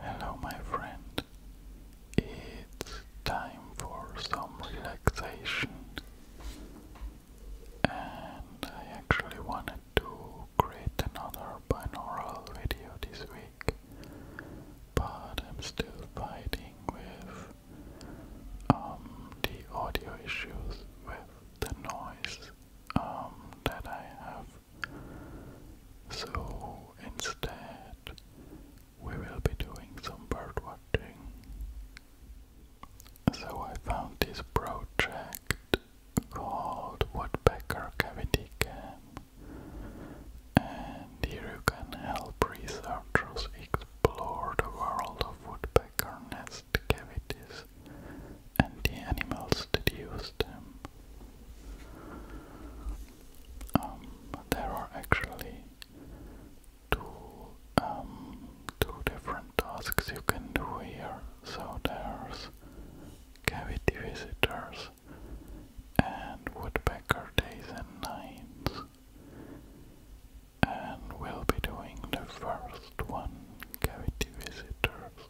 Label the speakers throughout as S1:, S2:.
S1: Hello, my friend. It's time for some relaxation, and I actually wanted to create another binaural video this week, but I'm still fighting with um, the audio issues with the noise um, that I have so instead, we will be doing some bird watching. So I found this project called Woodpecker Cavity Cam, and here you can help researchers explore the world of woodpecker nest cavities and the animals that use them. Um, there are actually two um, two different tasks you can do here. So there's cavity visitors and woodpecker days and nights. And we'll be doing the first one, cavity visitors.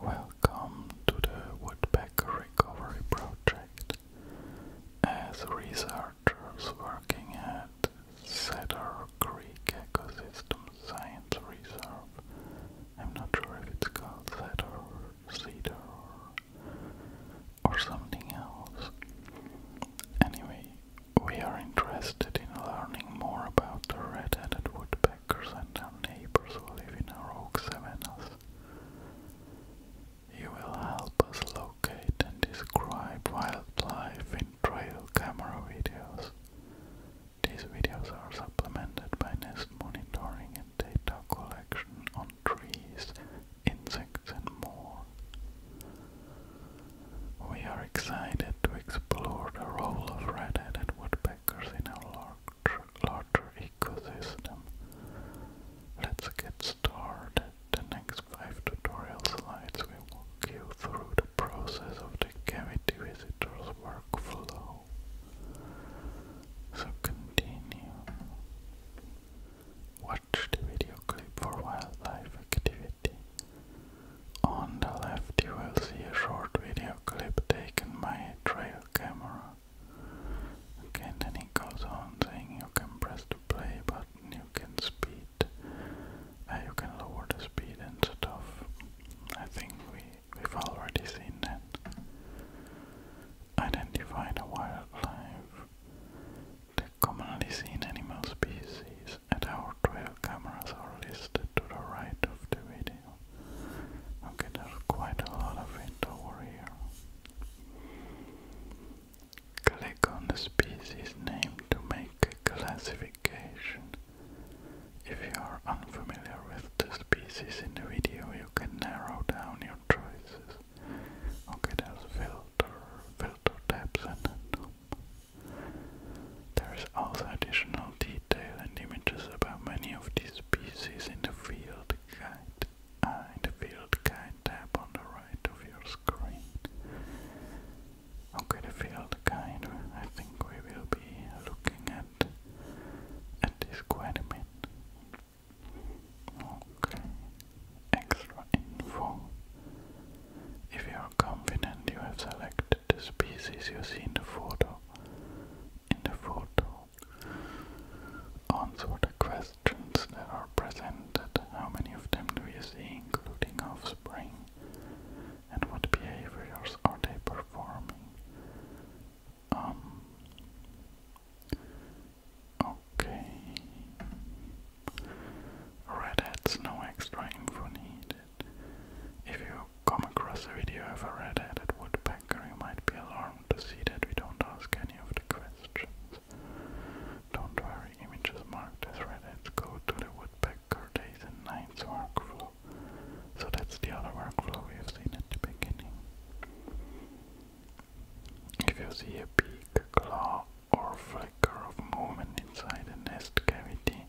S1: Welcome to the Woodpecker Recovery Project. As researchers working at Cedar Creek Ecosystem Science Reserve, I'm not sure if it's called Cedar or Cedar or, something else. Anyway, we are in interested in learning more about the red-headed woodpeckers and their neighbors who live in our oak savannas, you will help us locate and describe wildlife in trail camera videos. These videos are supplemented by nest monitoring and data collection on trees, insects and more. We are excited to explore the role of red-headed woodpeckers in our larger ecosystem. Let's get started. The next five tutorial slides will walk you through the process of the cavity visitor's workflow. So continue. Watch the video clip for wildlife activities. On the left you will see a short video clip taken by trail camera. Okay, and then he goes on saying you can press the play button, you can speed, uh, you can lower the speed and stuff. I think we, we've already seen that. Identify the wildlife. The commonly seen animal species settings and our 12 cameras are listed to the right of the video. Okay, there's quite a lot of it over here. Click on the species name to make a classification. If you are unfamiliar with the species in the video, you can narrow down your choices. Okay, there's filter, filter tabs and there is also additional detail and images about many of these species in the field guide, uh, field guide tab on the right of your screen. Okay, the field guide. I think we will be looking at at this quite Okay, extra info. If you are confident you have selected the species you see in the photo. In the photo. Answer the questions that are presented. How many of them do you see, including offspring? And what behaviors are they performing? Um. Okay. Redheads, no extra info needed. If you come across a video of a red-headed woodpecker, you might be alarmed to see that we don't ask any of the questions. Don't worry, images marked as redheads go to the woodpecker days and nights workflow. So that's the other workflow we have seen at the beginning. If you see a beak, claw, or flicker of movement inside a nest cavity,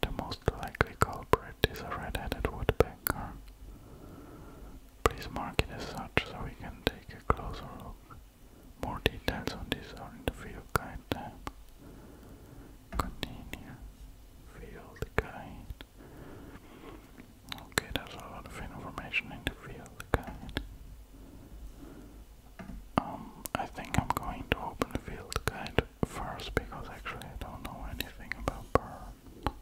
S1: the most likely culprit is a red-headed woodpecker. Please mark it as such so we can take a closer look. More details on this are in the field guide tab. Field guide. Okay, there's a lot of information in the field guide. Um, I think I'm going to open the field guide first because actually I don't know anything about birds.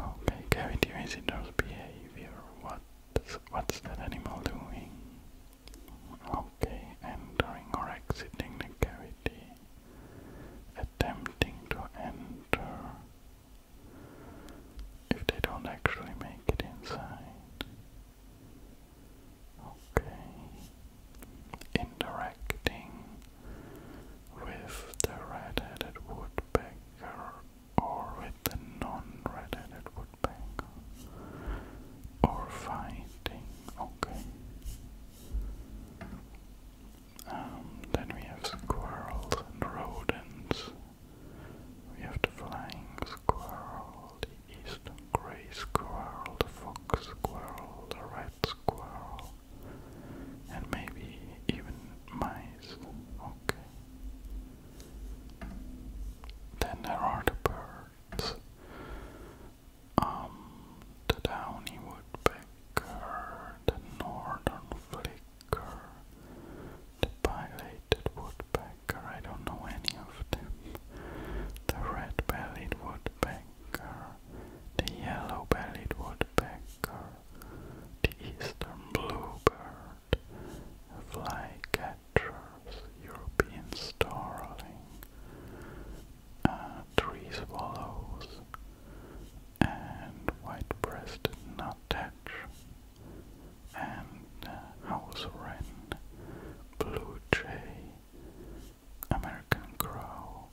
S1: Okay, cavity visitors behavior. What's, what's that animal doing? Okay, entering or exiting the cavity. Attempting to enter. If they don't actually make it inside. Okay. Interacting with the red-headed woodpecker or with the non-red-headed woodpecker or fighting. Okay. Um, then we have squirrels and rodents we have the flying squirrel, the eastern grey squirrel, the fox squirrel, the red squirrel, and maybe even mice. Okay. Then there are the birds. Um, the downy woodpecker, the northern flicker, pileated woodpecker. I don't know any of them. The red-bellied woodpecker, the yellow-bellied woodpecker, the eastern bluebird, flycatchers, European starling, uh, tree swallows, and white-breasted nuthatch and uh, house wren, blue jay, American crow,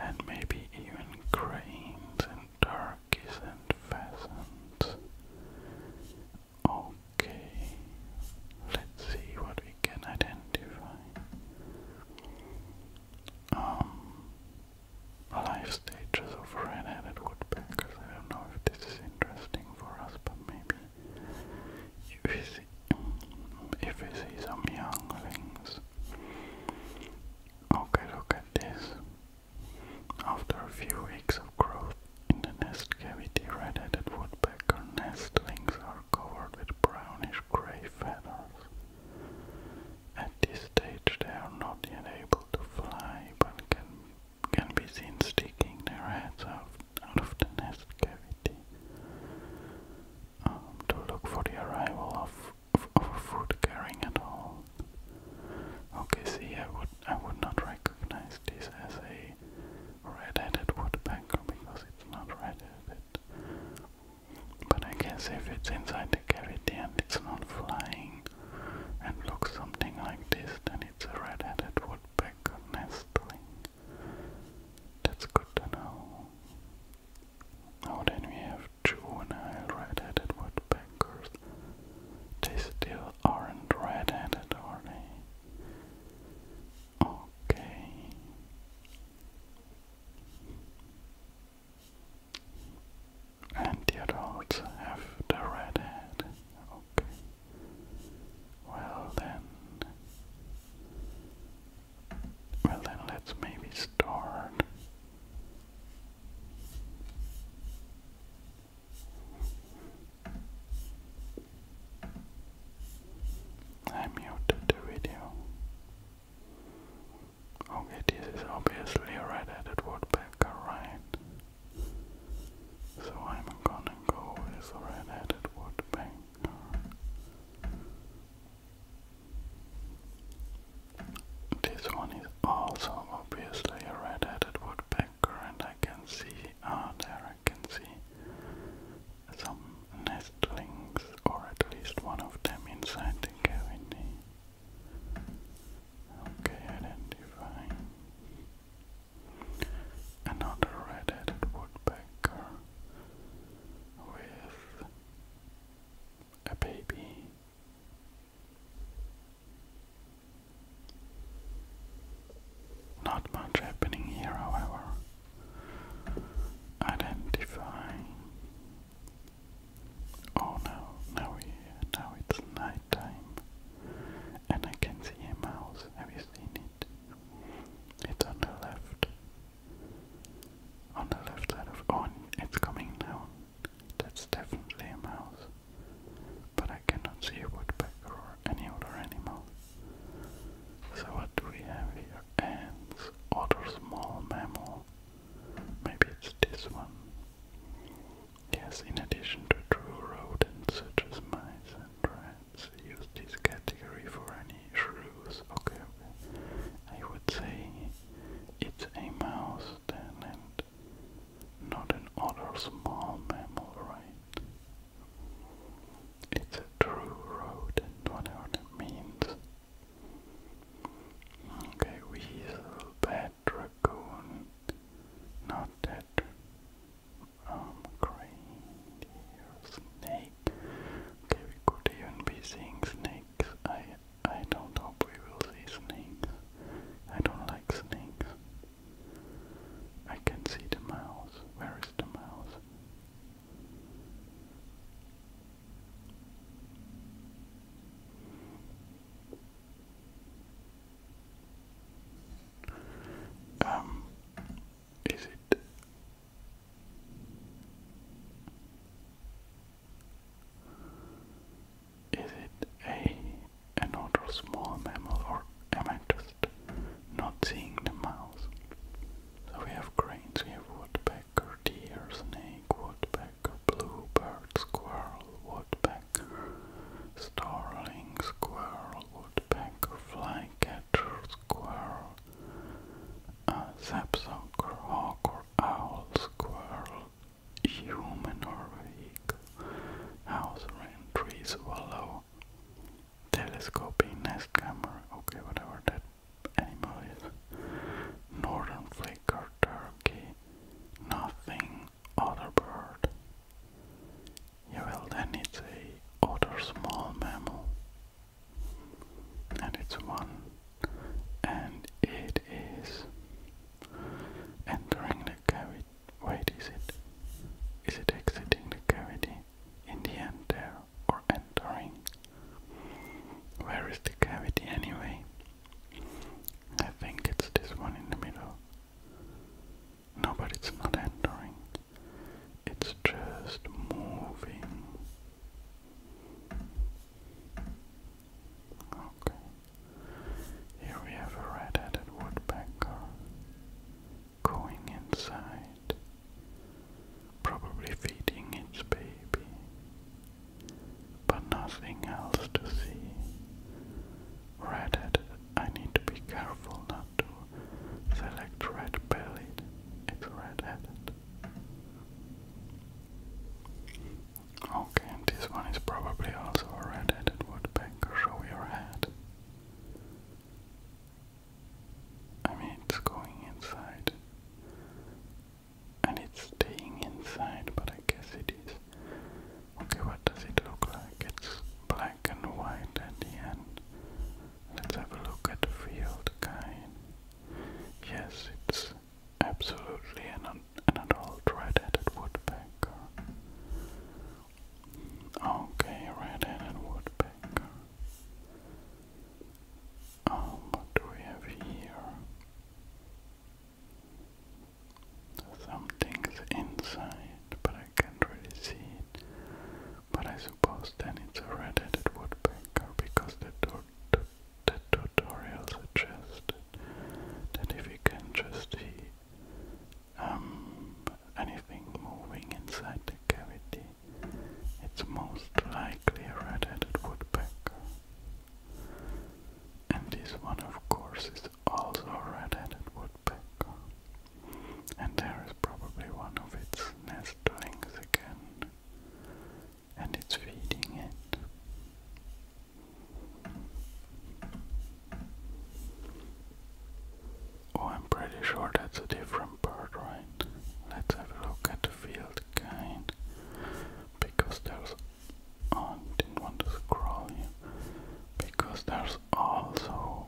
S1: and maybe even cranes and turkeys and pheasants. Okay, let's see what we can identify. Um, life stages of red-headed woodpeckers. I don't know if this is interesting for us, but maybe if we see, if some young Okay, look at this. After a few weeks of growth in the nest cavity, red-headed woodpecker nestlings are covered with brownish-gray feathers. At this stage, they are not yet able to fly, but can can be seen sticking their heads out, out of the nest cavity um, to look for the arrival of, of a food carrying at all. Okay, see, I would I would not recognize this as a red-headed woodpecker because it's not red-headed. But I guess if it's inside the cavity and it's not flying and looks something like this, then it's a red-headed woodpecker my That's good to know. Now then we have juvenile red-headed woodpeckers. They still aren't red-headed, are they? Okay. And the adults have the red head. Okay. Well then. Well then, let's maybe start. I muted the video. Okay, this is obviously a red right? So I'm gonna go with red-headed woodpecker. This one is also obviously a red-headed woodpecker, and I can see, ah, there I can see some nestlings, or at least one of them inside the cavity. Okay, identify. Another red-headed woodpecker with a baby. Not much happening here, however. Identify. Oh no, now, we, now it's night and I can see a mouse. Have you seen it? It's on the left. On the left side of on oh, it's coming down. That's definitely a mouse. But I cannot see a woodpecker or any other animal. So what do we have here? Ants, other small mammal. Maybe it's this one. Yes, in addition to true rodents such as mice and rats, use this category for any shrews. Okay, I would say it's a mouse then and not an other small mammal, right? It's a true rodent, whatever that means. Okay, weasel, bat, raccoon, not that um, reindeer, snake. Okay, we could even be seeing snakes. I I don't hope we will see snakes. I don't like snakes. I can see the mouse. Where is the mouse? Um, is it? Is it a an small mammal, or am I just not seeing the mouse? So we have cranes, we have woodpecker, deer, snake, woodpecker, bluebird, squirrel, woodpecker starling, squirrel, woodpecker, flycatcher, squirrel, a sapsucker, hawk or owl, squirrel, human or vehicle, house wren, tree, swallow, telescoping, nest camera, okay, whatever that animal is, northern flicker, turkey, nothing, other bird, yeah, well then it's a other small mammal, and it's one, and it is entering the cavity. Wait, is it? Is it exiting the cavity in the end there, or entering? Where is the cavity anyway? I think it's this one in the middle. No, but it's not entering. It's just moving. Okay. Here we have a red-headed woodpecker going inside, probably feeding its baby, but nothing else to see. Redhead, I need to be careful not to select red bellied. It's red Okay, this one is probably also a red headed woodpecker. Show your head. I mean, it's going inside. And it's staying inside, but I guess it is Okay, what does it look like? It's black and white at the end. Let's have a look at the field Yes, it's absolutely an, an adult red-headed woodpecker. Okay, red-headed woodpecker. Um, what do we have here? something's inside, but I can't really see it. But I suppose then it's a red-headed woodpecker because the, the, the tutorial suggested that if you can just see um, anything moving inside the cavity, it's most likely a red-headed woodpecker. And this one, of course, is also a red-headed woodpecker and there is probably one of its nestlings again, and it's feeding it. Oh, I'm pretty sure that's a different bird, right? Let's have a look at the field kind, because there's. Oh, I didn't want to scroll because there's also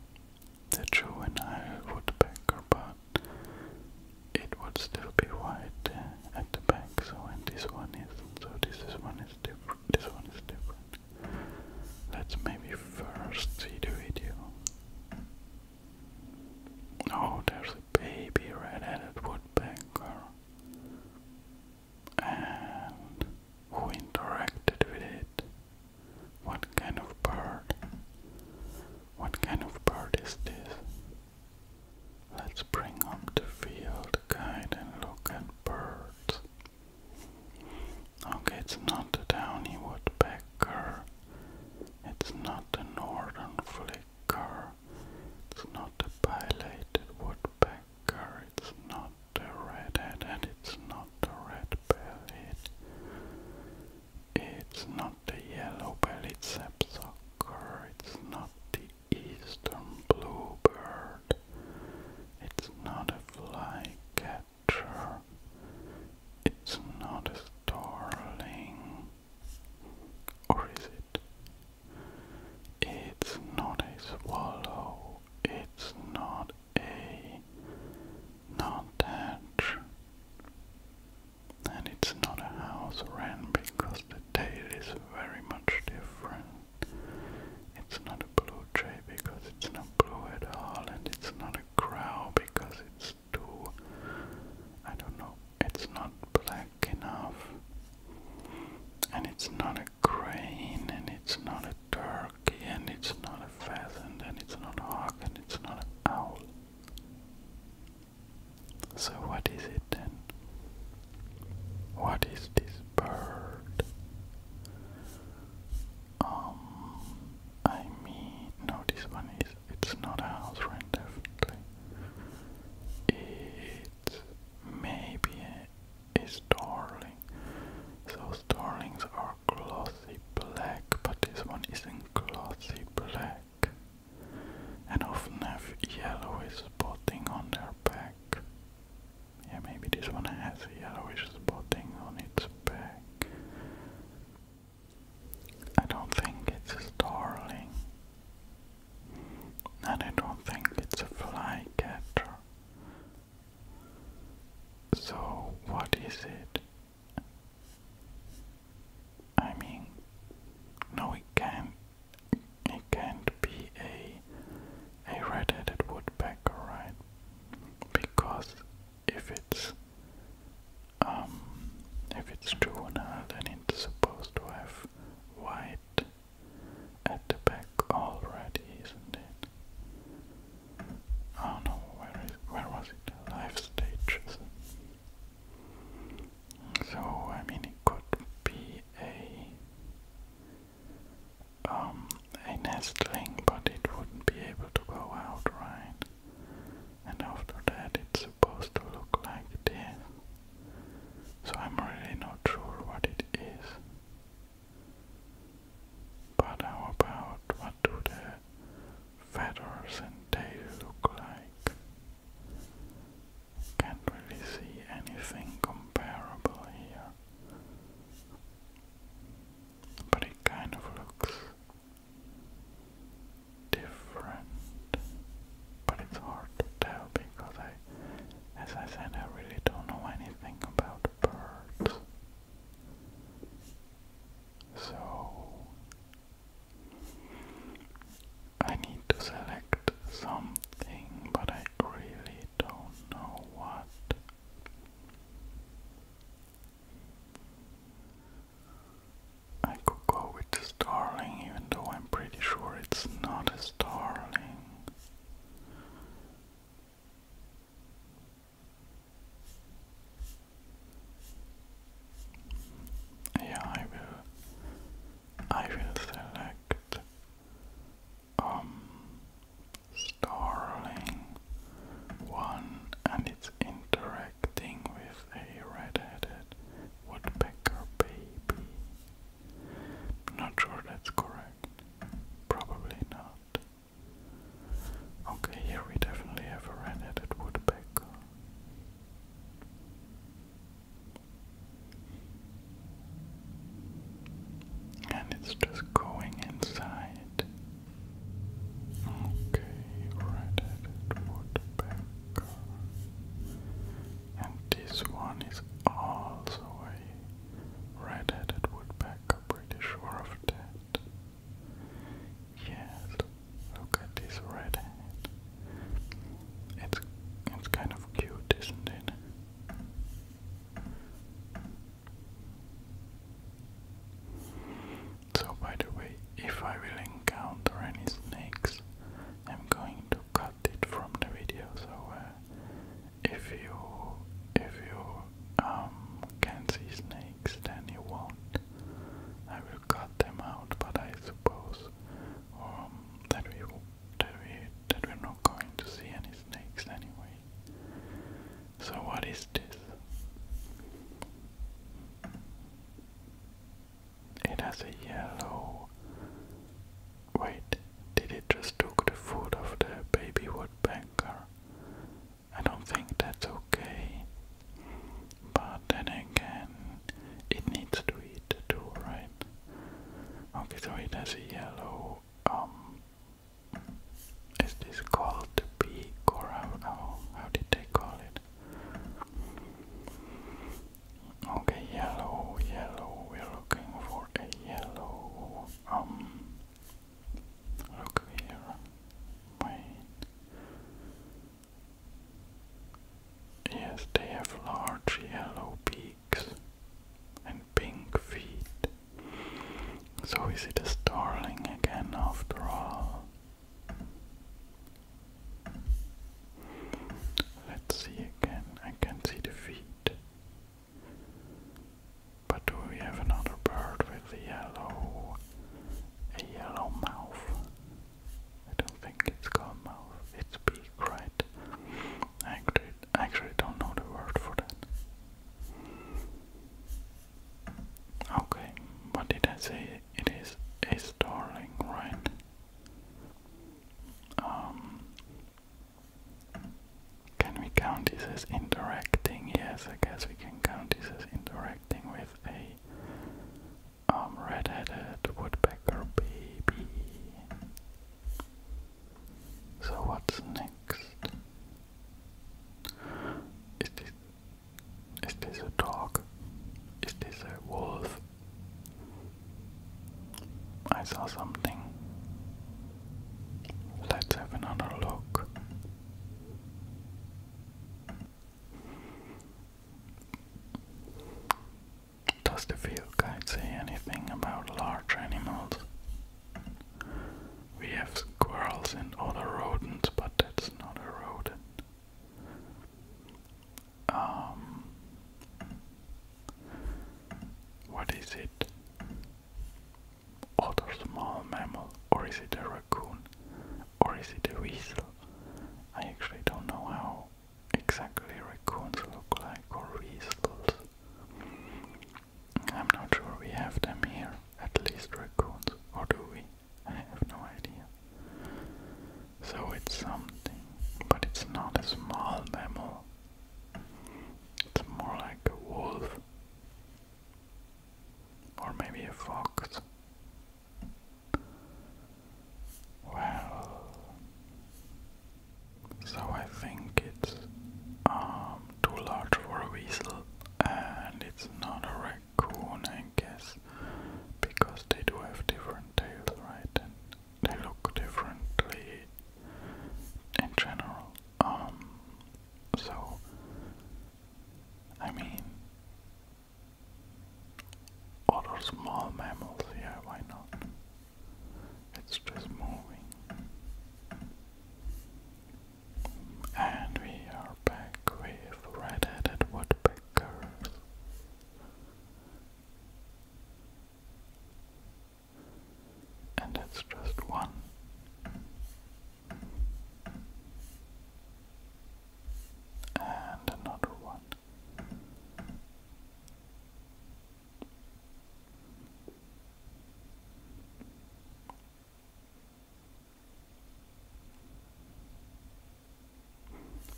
S1: the juvenile woodpecker, but it would still be white uh, at the back. So and this one is so this is one is different. This one is different. Let's maybe first see the video. Oh, there's a baby red-headed woodpecker and who interacted with it. What kind of bird? What kind of bird is this? Let's bring up the field guide and look at birds. Okay, it's not a downy woodpecker. It's not the northern flicker. It's not a pileated woodpecker tiger, it's not a redhead, and it's not a red belly. It's not the yellow bellied sapsucker, it's not the eastern bluebird, it's not a flycatcher, it's not a starling. Or is it? It's not a swallow. It's not a not thatch. And it's not a house wren because the tail is very much different. It's not a blue jay because it's not blue at all, and it's not a crow because it's too. I don't know, it's not black enough. And it's not a crane, and it's not a dark and it's not a pheasant, and it's not a hawk, and it's not an owl. So, what is it then? What is this bird? Um, I mean, no, this one is, it's not a house rent, definitely. It's maybe starling. So starlings are glossy black, but this one isn't glossy black. And often have yellowish spotting on their back. Yeah, maybe this one has yellowish spotting on its back. I don't think it's a starling. And I don't think it's a flycatcher. So, what is it? I mean, no, it can't. It can't be a a red-headed woodpecker, right? Because if it's um, if it's juvenile, then it's supposed to have white at the back already, isn't it? Oh no, where is where was it? Live stages. So I mean, it could be a um, a nestling, but it wouldn't be able to go out, right? And after that, it's supposed to look like this. So I'm really not sure what it is. But how about what do the feathers and tail look like? Can't really see anything comparable here. But it kind of looks different. But it's hard to tell because I, as I said, I really don't know anything about birds. So I need to select something, but I really don't know what. I could go with Starling, even though I'm pretty sure it's not a Starling. Yeah, I will. I will select um Starling one, and it's interacting with a red-headed woodpecker baby. Not sure that's correct. Probably not. Okay, here we definitely have a red-headed woodpecker. And it's just going inside. Okay, red-headed woodpecker. And this one is also a red-headed woodpecker. I'm pretty sure of that. Yes, look at this red It's it's kind of cute, isn't it? So by the way, if I will encounter any snakes, I'm going to cut it from the video so uh, if you if you um can see snakes then you won't. I will cut them out, but I suppose um, that we that we that we're not going to see any snakes anyway. So what is this? It has a yellow. Wait, did it just took the food of the baby woodpecker? I don't think that's okay. But then again, it needs to eat too, right? Okay, so it has a yellow. Um, is this called beak or how? How, how did they call it? Okay, yellow, yellow. We're looking for a yellow. Um, Look here. Yes, they have large yellow beaks and pink feet. So is it a starling again after all? Let's see again. I can see the feet. But do we have another bird with a yellow a yellow mouth? I don't think it's called mouth, it's beak, right? I actually, don't know the word for that. Okay, what did I say? It is a starling, right? Um, can we count this as interacting? Yes, I guess we can count this as interacting with a um, red woodpecker baby. So what's next? Is this is this a dog? Is this a wolf? I saw something. Let's have another look. Does the field guide say anything about large animals? We have squirrels and other rodents, but that's not a rodent. Um, what is it? other small mammal, or is it a raccoon, or is it a weasel? I actually don't know how exactly raccoons look like, or weasels. I'm not sure we have them here, at least raccoons, or do we? I have no idea. So it's something, but it's not a small mammal. It's more like a wolf. Or maybe a fox. Well, so I think it's um, too large for a weasel, and it's not a raccoon, I guess, because they do have different tails, right? And they look differently in general. Um, so, I mean, or small mammals, yeah, why not? It's just moving. And we are back with red-headed woodpeckers and it's just one. And another one.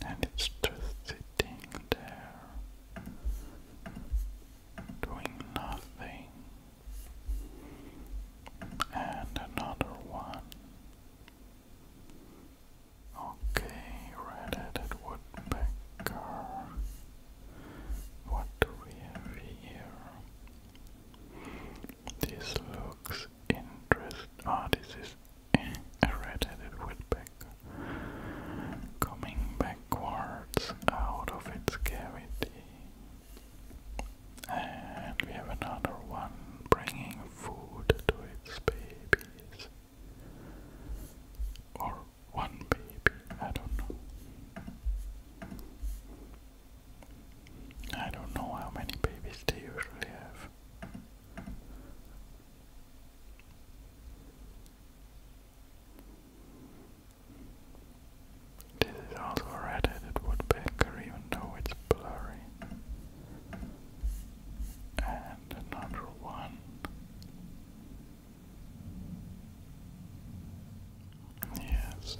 S1: And it's just sitting there doing nothing and another one. Okay, red-headed woodpecker. What do we have here? This looks interesting. Ah, this is a red-headed woodpecker coming backwards out of its cavity. And we have another one bringing food to its babies. Or one baby, I don't know. I don't know how many babies they usually have. This is also a red-headed woodpecker, even though it's blurry. And another one. Yes,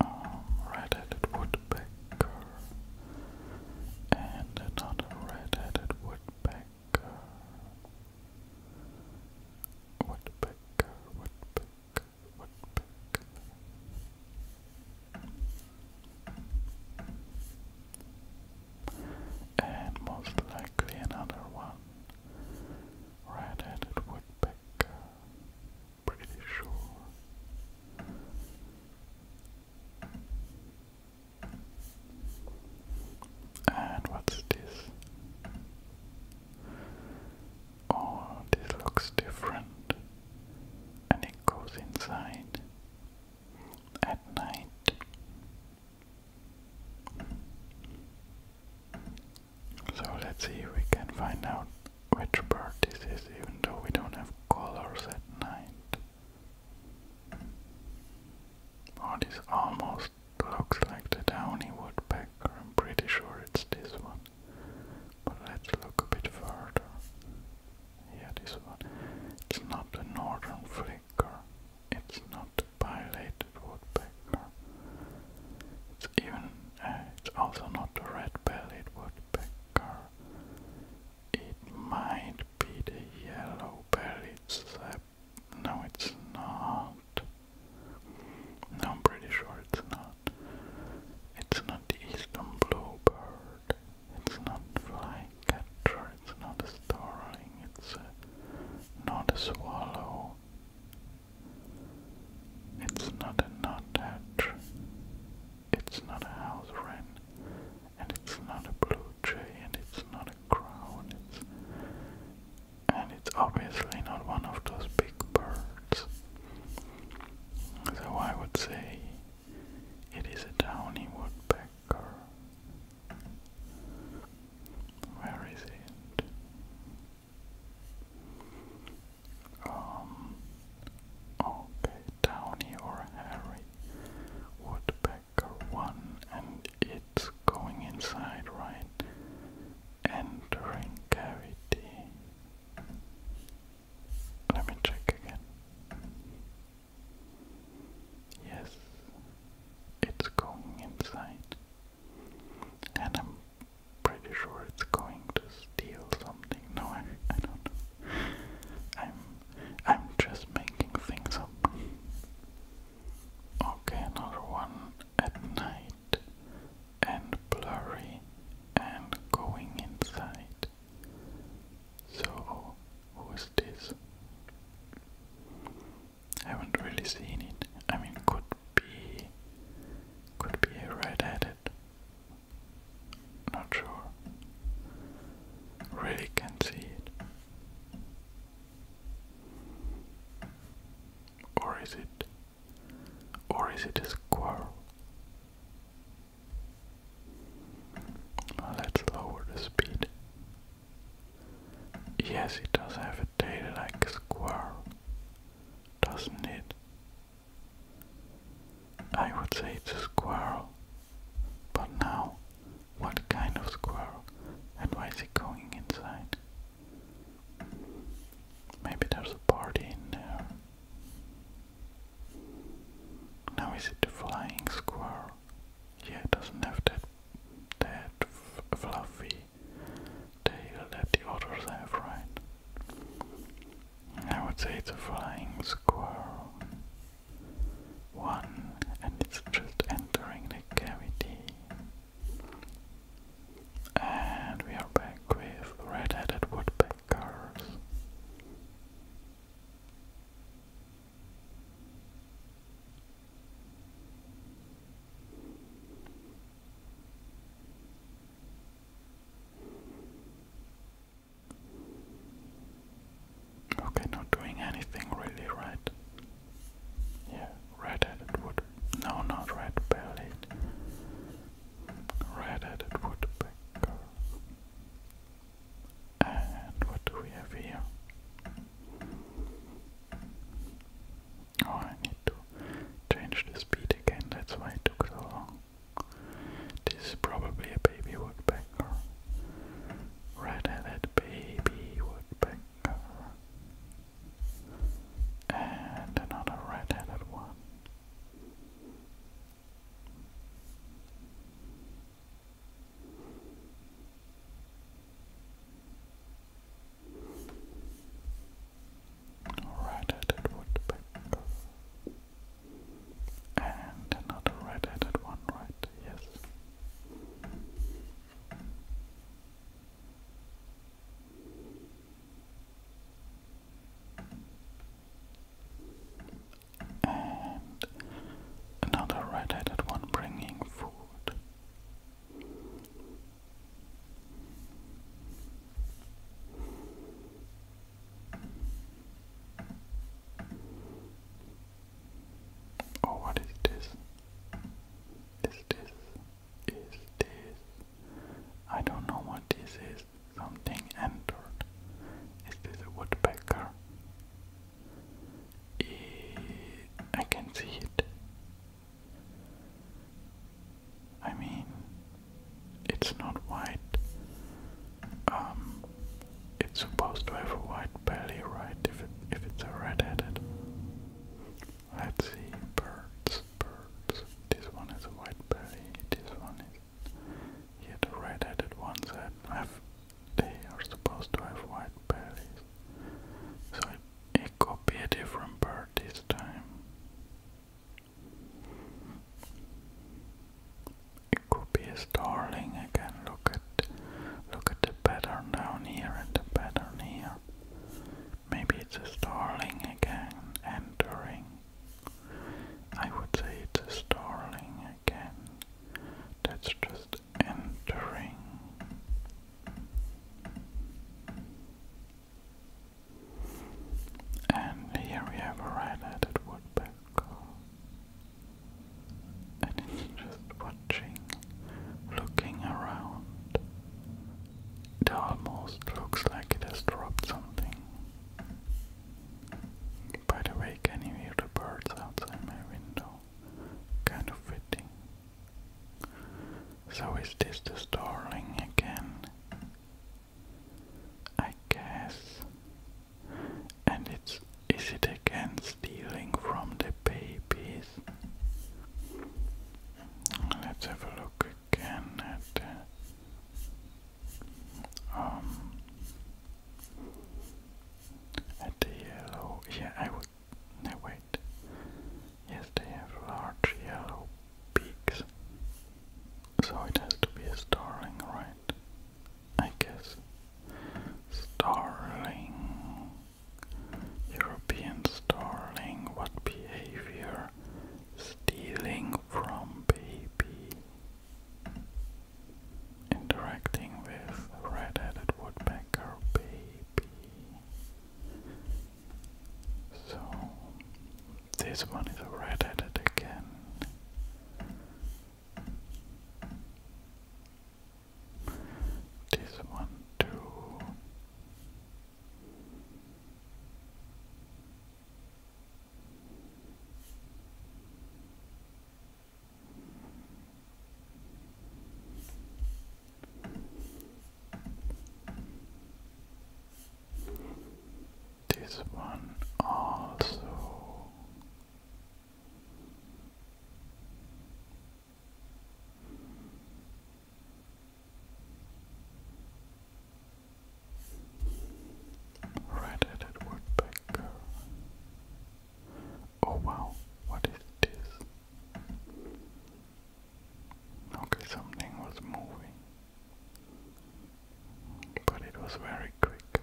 S1: um, red-headed woodpecker. And another red-headed woodpecker. Woodpecker, woodpecker. And most likely another one. Red-headed woodpecker. Pretty sure. And what's this? Oh, this looks different. And it goes inside at night. So let's see if we can find out which bird this is, even though we don't have colors at night. Oh, this almost looks like the downy woodpecker. I'm pretty sure it's this one. But let's look a bit further. Yeah, this one. It's not the northern flicker. It's not the pileated woodpecker. It's even. Uh, it's also not the red-bellied woodpecker. It might be the yellow-bellied sap. No, it's not. No, I'm pretty sure it's not. It's not the eastern bluebird. It's not flycatcher. It's not a starling. It's not a swallow. It's not a nuthatch. It's not a house wren. And it's not a blue jay. And it's not a crown and it's obviously not one of those big birds. So I would say it is a downy woodpecker. Where is it? Um, okay, downy or hairy woodpecker one, and it's going inside, right? entering cavity. Let me check again. Yes, it's going inside, and I'm pretty sure it's going to steal something. No, I, I don't know. I'm I'm just making things up. Okay, another one at night and blurry and going inside. So, who's this? I haven't really seen it. I mean, could be, could be a red Not sure. Really can't see it. Or is it or is it a squirrel? let's lower the speed. Yes, it does have a tail like a squirrel, doesn't it? I would say it's a squirrel. But now, what kind of squirrel? And why is he going inside? Maybe there's a party in there. Now is it the flying squirrel? Yeah, it doesn't have that that fluffy tail that the others have, right? I would say it's a flying squirrel. One, and it's just entering the cavity. And we are back with red-headed woodpeckers. Okay, not doing anything really right. Yeah, red-headed wood. No, not red-bellied. red woodpecker. And what do we have here? Oh, I need to change the speed again. That's why it took so long. This is probably a baby woodpecker. red baby woodpecker. And another red one. red woodpecker. And another red one, right? Yes. And another red headed one bringing food. Oh, what is this? Is this is this? I don't know what this is. Something entered. Is this a woodpecker? I can see it. I mean, it's not white. Um, it's supposed to have a white belly, right? If it if it's a red Let's see, birds, birds. This one has a white belly. this one is here the red-headed ones that have, they are supposed to have white berries. So it, it could be a different bird this time. It could be a starling again. Look at, look at the pattern down here and the pattern here. Maybe it's a starling again entering. I would say it's a starling again. That's just entering. And here we have a red-headed woodpecker. just watching, looking around, it almost looks like it has dropped something. By the way, can you hear the birds outside my window? Kind of fitting. So is this the starling again? I guess. And it's is it again stealing from the bay? babies. Let's have a look again at uh, um at the yellow. Yeah, I would. No wait. Yes, they have large yellow peaks. So it has to be a starling, right? I guess. Starling. European starling, what behavior? Stealing from baby. Interacting with red-headed woodpecker baby. So, this one is a red-headed again. This one too. This one also Red-headed woodpecker. Oh wow, what is this? Okay, something was moving, but it was very quick.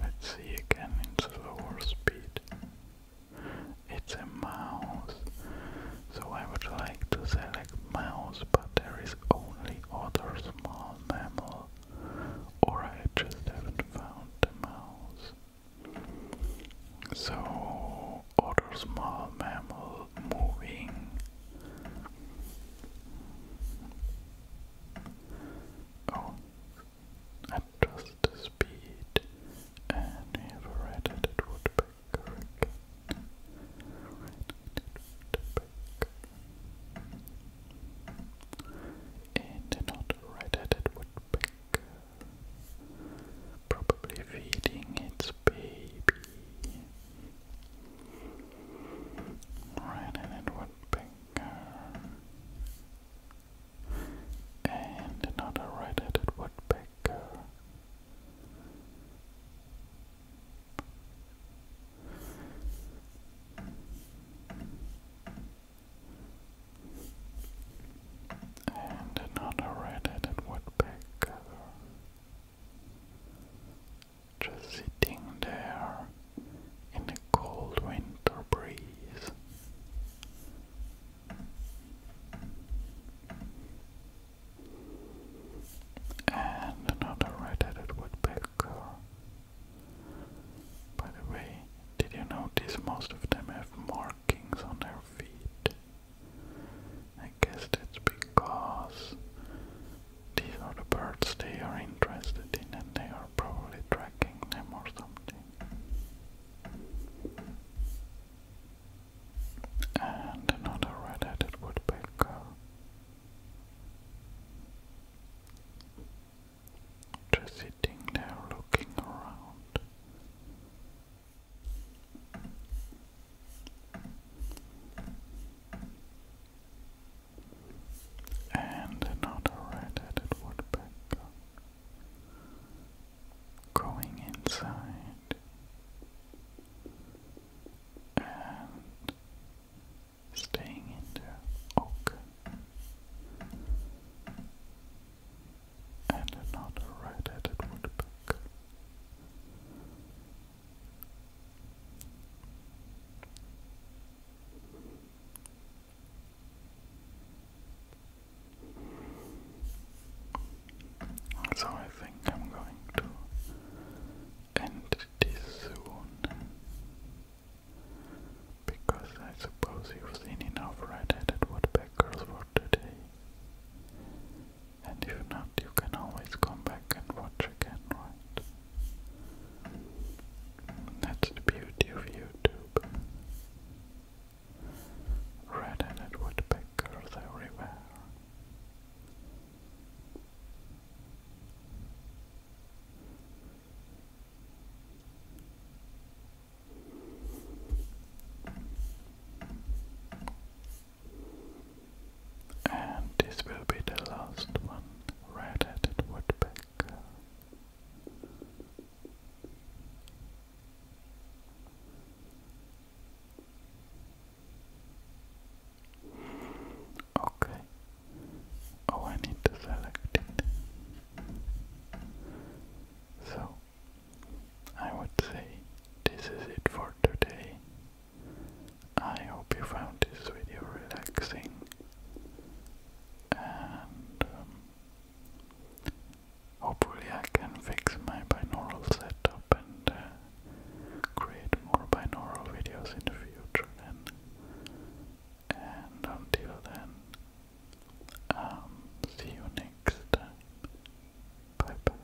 S1: Let's see again in slower speed. It's a mouse. So I would like to select mouse, but there is only other small mammal. Or I just haven't found the mouse. So, other small mammal moving. Oh, adjust the speed. I read that it would be and not right-headed woodpecker. Probably feeding its baby. Right-headed woodpecker. And another right-headed woodpecker and another red woodpecker just sitting there in the cold winter breeze. And another red-headed woodpecker. By the way, did you notice most of them have markings on their feet? I guess that's because these are the birds they are interested in and they are probably tracking them or something and another red-headed woodpecker. Just sitting there looking around. And another red-headed woodpecker going inside and staying in the oak and another red-headed woodpecker. So I think I'm going to end this soon. Because I suppose you've seen enough red-headed woodpeckers for today. And if not, you can always come back and watch again, right? That's the beauty of YouTube. Red-headed woodpeckers everywhere. And this will be the last one, red-headed woodpecker. Okay. Oh, I need to select it. So, I would say this is it for today. I hope you found this video relaxing. And um, Hopefully, I can fix my binaural setup and uh, create more binaural videos in the future. and until then, um, see you next Bye bye.